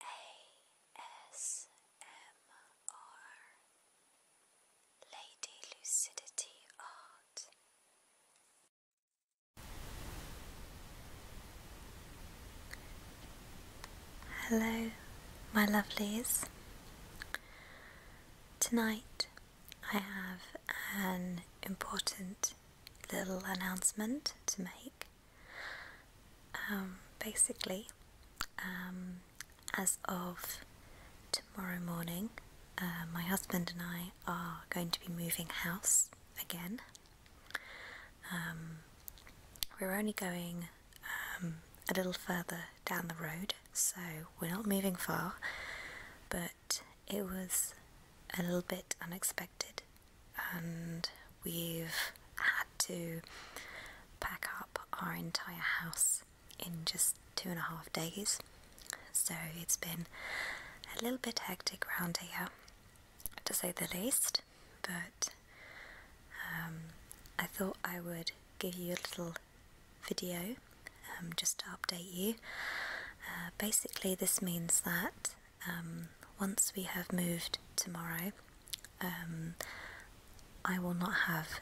ASMR Lady Lucidity Art. Hello, my lovelies. Tonight I have an important little announcement to make. Um, basically, um, as of tomorrow morning, uh, my husband and I are going to be moving house again. Um, we're only going a little further down the road, so we're not moving far, but it was a little bit unexpected, and we've had to pack up our entire house in just two and a half days. So it's been a little bit hectic round here, to say the least, but um, I thought I would give you a little video um, just to update you. Uh, basically, this means that um, once we have moved tomorrow, um, I will not have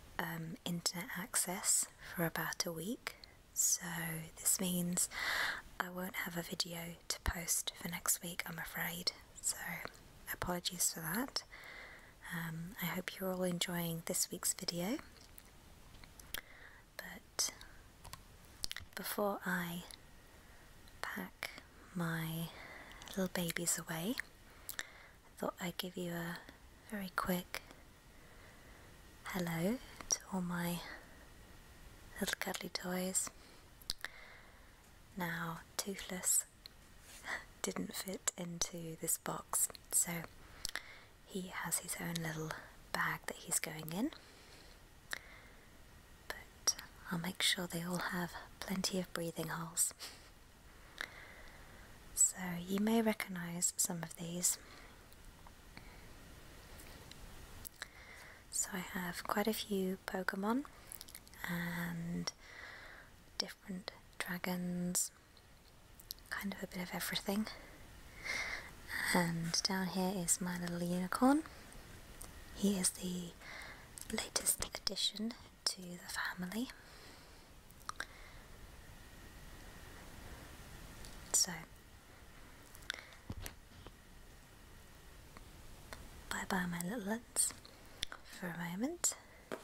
internet access for about a week. So, this means I won't have a video to post for next week, I'm afraid. So, apologies for that. Um, I hope you're all enjoying this week's video. But before I pack my little babies away, I thought I'd give you a very quick hello to all my little cuddly toys now, Toothless didn't fit into this box, so he has his own little bag that he's going in. But I'll make sure they all have plenty of breathing holes. So you may recognize some of these. So I have quite a few Pokemon and different dragons, kind of a bit of everything. And down here is my little unicorn. He is the latest addition to the family. So Bye bye, my little ones, for a moment. i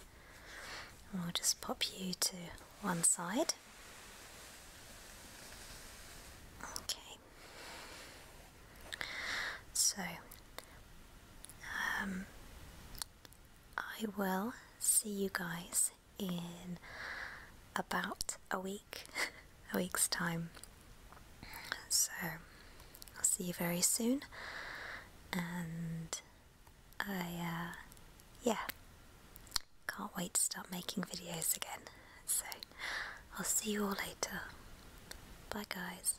will just pop you to one side. Okay. So, um, I will see you guys in about a week, a week's time. So I'll see you very soon, and I, uh, yeah, can't wait to start making videos again. So I'll see you all later. Bye, guys.